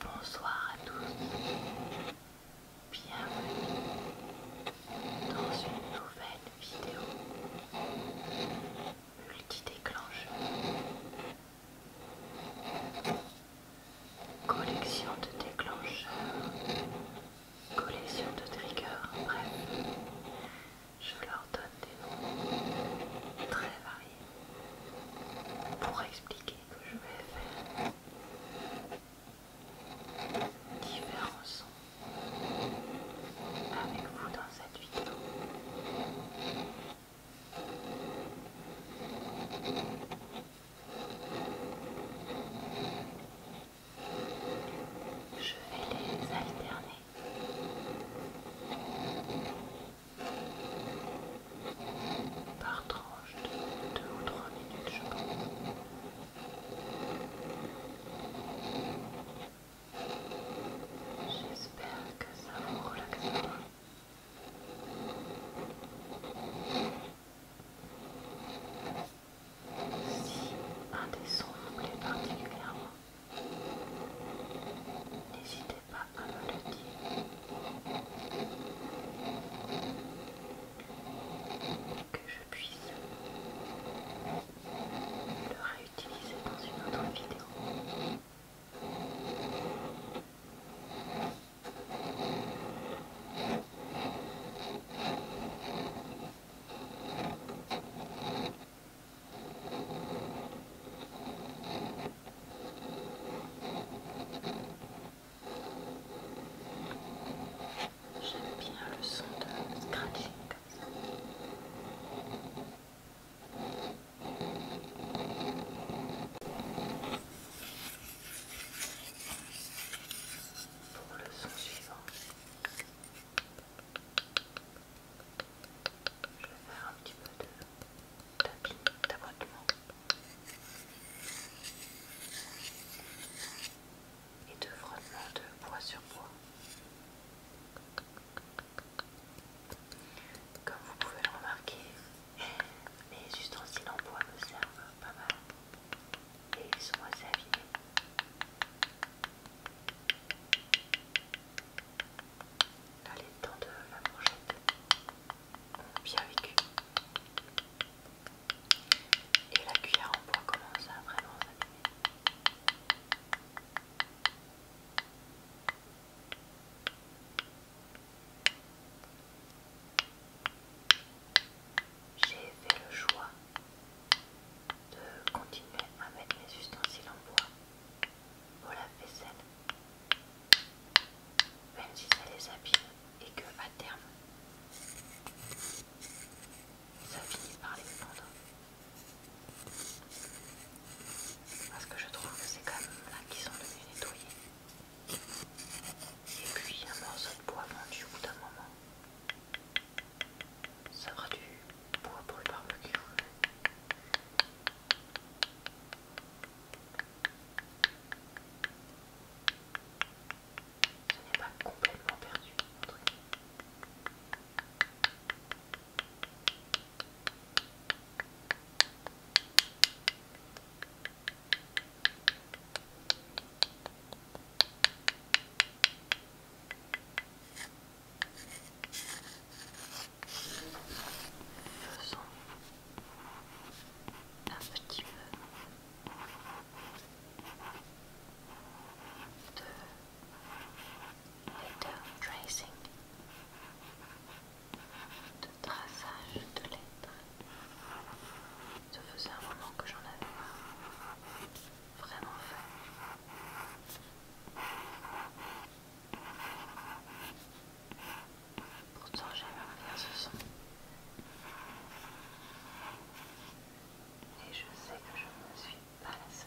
Bonsoir à tous, bienvenue dans une nouvelle vidéo multi-déclencheur. Collection de déclencheurs, collection de triggers, bref, je leur donne des noms très variés pour expliquer que je vais faire différents sons avec vous dans cette vidéo. Je vais les alterner par tranche de 2 ou 3 minutes, je pense. J'espère que ça vous relaxera. Si un des sons vous plaît particulièrement, n'hésitez que je puisse le réutiliser dans une autre vidéo. J'aime bien le son de scratching Pour le son suivant, je vais faire un petit peu de d'abattement et de frottement de bois sur bois. Comme vous pouvez le remarquer, mes ustensiles en bois me servent pas mal et ils sont assez affinés Là, les dents de la bien vécu. Et la cuillère en bois commence à vraiment s'abîmer. J'ai fait le choix de continuer à mettre les ustensiles en bois voilà, la vaisselle Même si ça les abîme et que à terme ça finit par les fondre. Parce que je trouve que c'est quand même là qu'ils sont devenus nettoyés. Et puis un morceau de bois vendu au bout d'un moment. Ça fera du bois pour le barbecue. Ce n'est pas complètement perdu, Faisons un petit peu de letter tracing, de traçage de lettres. Ça faisait un moment que j'en avais vraiment fait. Pourtant j'aime bien ce son. Et je sais que je ne suis pas laissé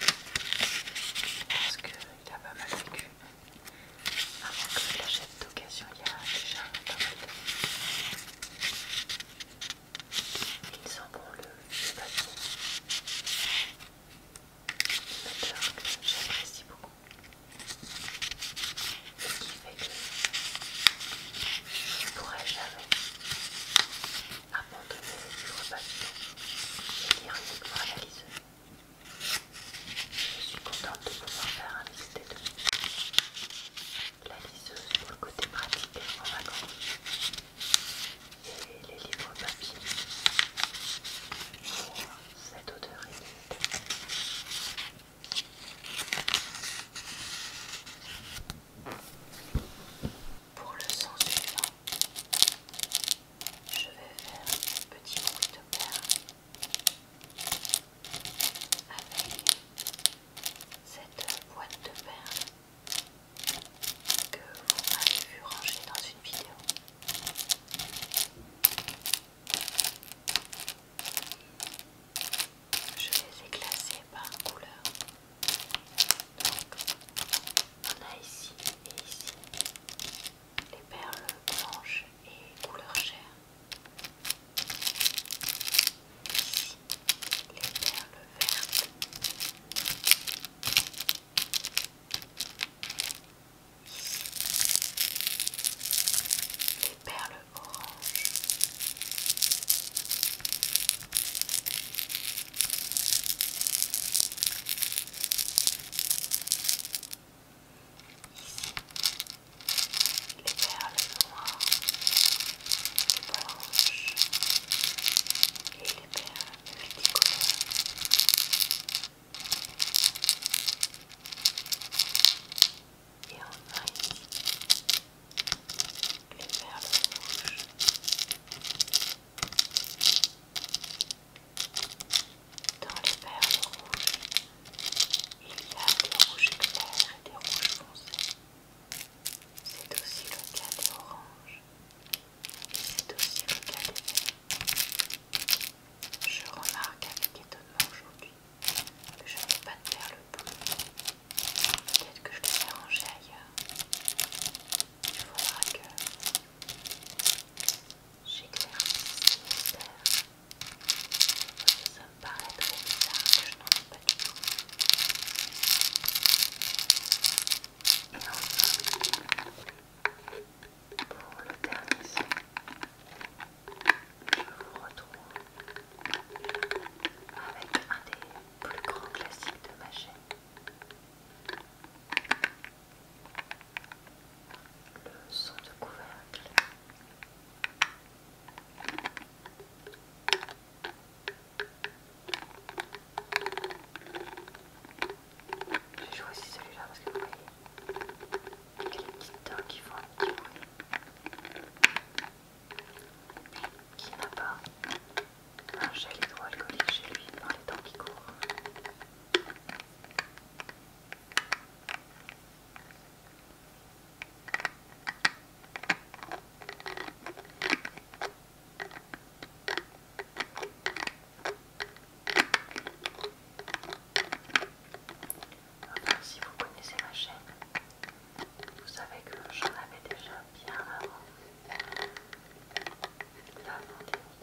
Parce qu'il a pas mal vécu. Avant que je l'achète d'occasion, il y a déjà pas mal d'années. Il sent bon le bâton papier. Une que j'apprécie beaucoup. ce qui fait que je ne pourrais jamais abandonner les livres et Je suis contente de pouvoir faire un mix des La liseuse pour le côté pratique en vacances et les livres papier pour cette odeur Pour le sens suivant, je vais faire une petite bruit de perles avec cette boîte de perles que vous m'avez vu ranger dans une vidéo. Je les ai classer par couleur on a ici et ici les perles blanches et couleur chair. Ici, les perles vertes. les perles oranges les perles noires, les blanches et les perles multicolores. Et enfin ici, les perles rouges. Dans les perles rouges, il y a des rouges clairs et des rouges foncés. C'est aussi le cas des oranges. Et c'est aussi le cas des verts. Je remarque avec étonnement aujourd'hui que je n'ai pas de perles bleues. Peut-être que je les ai ailleurs. Il faudra que j'éclaire les mystères Parce ça me paraît trop bizarre que je n'en ai pas du tout. Et enfin, pour le dernier son, je vous retrouve avec un des plus grands classiques de ma chaîne le son de couvercle. J'ai choisi celui-là parce que vous voyez, les petites dents qui font un petit bruit. Qui n'a pas un gel hydroalcoolique chez lui dans les temps qui courent. si vous connaissez ma chaîne, vous savez que j'en avais déjà bien avant la pandémie.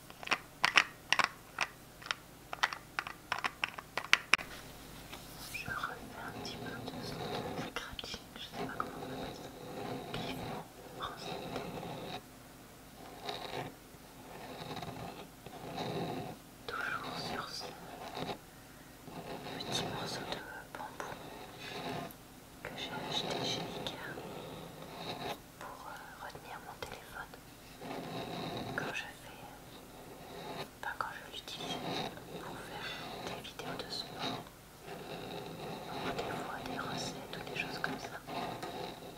Je refais un petit peu de son scratching, je sais pas comment on mettre. ça, vivement Toujours sur ce petit morceau de bambou que j'ai acheté chez Ikea pour euh, retenir mon téléphone quand je fais, quand je l'utilise pour faire des vidéos de sport, des voix, des recettes ou des choses comme ça,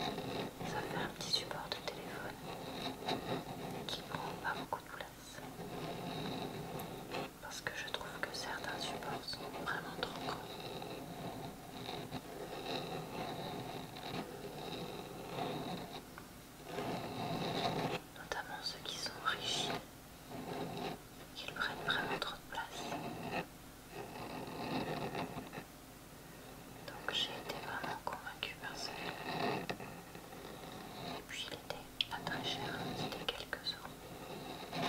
ça fait un petit support de téléphone qui prend pas beaucoup de place. Parce que je trouve que certains supports sont vraiment trop gros notamment ceux qui sont riches, qu'ils prennent vraiment trop de place. Donc j'ai été vraiment convaincue par ça. Et puis il était pas très cher, c'était quelques euros.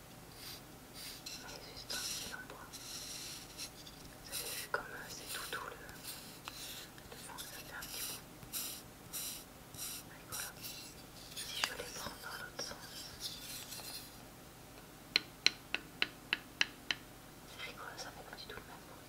Mais juste un fil en bois. Vous avez vu comme c'est tout tout le, fond, ça fait un petit bout. Allez, voilà. Si je les prends dans l'autre sens. C'est rigolo, ça fait pas du tout le même bruit.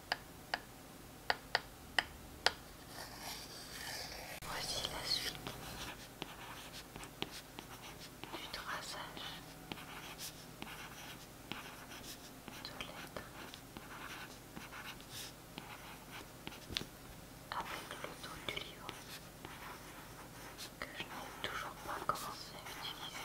Voici la suite du traçage de lettres avec le dos du livre que je n'ai toujours pas commencé à utiliser.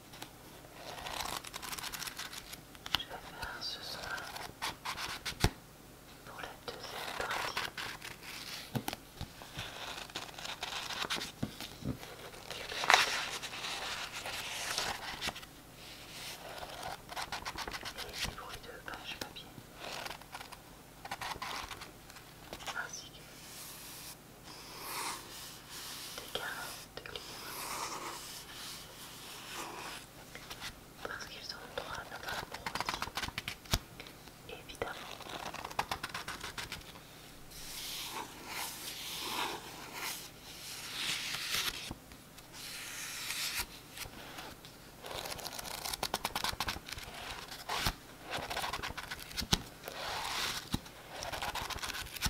Je vais faire ce soir pour la deuxième partie du et les bruits de page papier ainsi que des cartes parce qu'ils ont le droit à évidemment.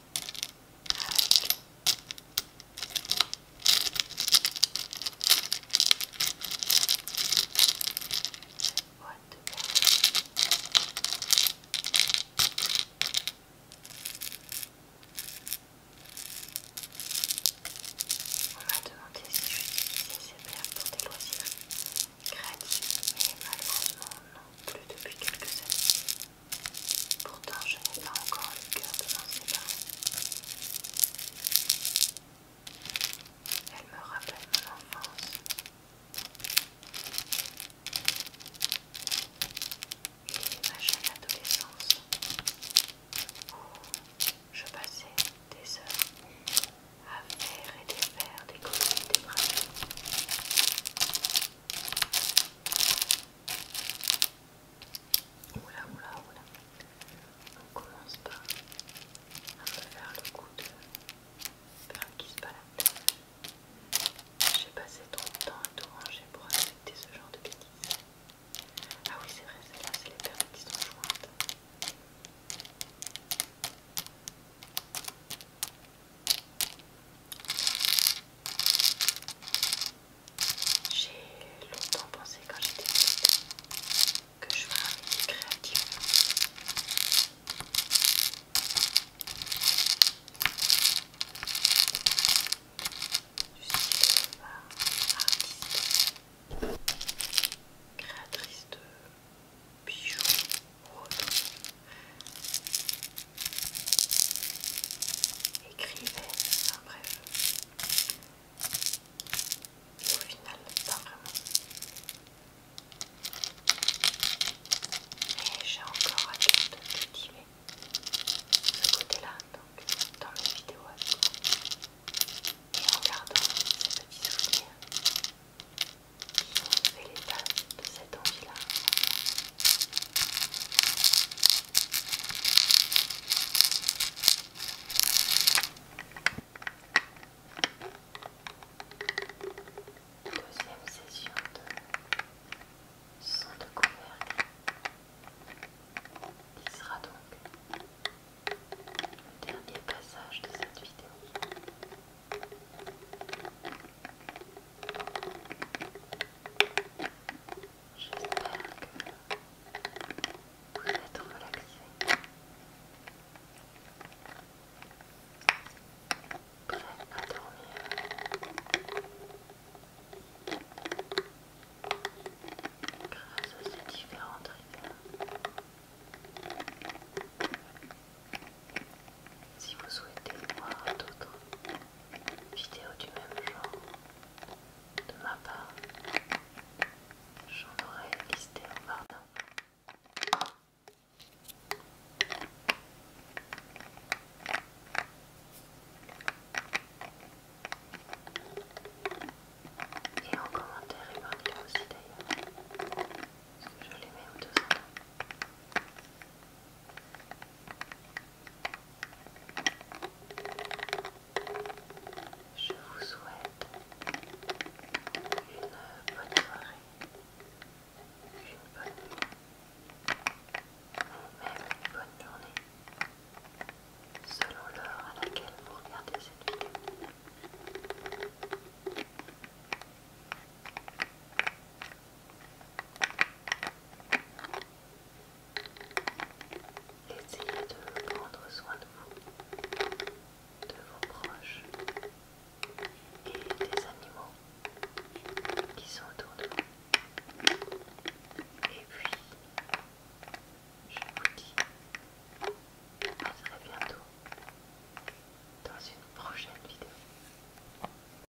avec cette boîte de the On m'a demandé si j'utilisais ces perles pour des loisirs créatifs, mais malheureusement non, plus depuis quelques années. Pourtant, je n'ai pas encore le cœur de m'en Elle me rappelle mon enfance. Et ma jeune adolescence où je passais des heures à faire et défaire des et des bras. Oula, oula, oula. On commence pas. à faire le coup de perles qui se balade. J'ai passé trop de temps à tout ranger pour accepter ce genre de bêtises. Ah oui, c'est vrai, celle-là, c'est les perles qui sont jointes. J'ai longtemps pensé quand j'étais petite que je ferais un métier créatif. artiste, créatrice de bijoux ou autre écrivez enfin bref. au final, pas vraiment. Mais j'ai encore hâte de cultiver ce côté-là, donc dans mes vidéos à Et en gardant ces petits souvenirs qui ont fait l'état de cette envie-là. Deuxième session de son de couvercle Il sera donc le dernier passage de cette vidéo. J'espère que vous êtes relaxés, prêts à dormir. Grâce à ces différentes rigueurs, si vous souhaitez voir d'autres vidéos du même genre de ma part, j'en aurai listé en barre et en commentaire épargnez-le aussi d'ailleurs, parce que je les mets tout deux je vous souhaite une bonne soirée, une bonne nuit, ou même une bonne journée, selon l'heure à laquelle vous regardez cette vidéo. Essayez de prendre soin de vous, de vos proches et des animaux qui sont autour de vous. Et puis, je vous dis à très bientôt dans une prochaine vidéo.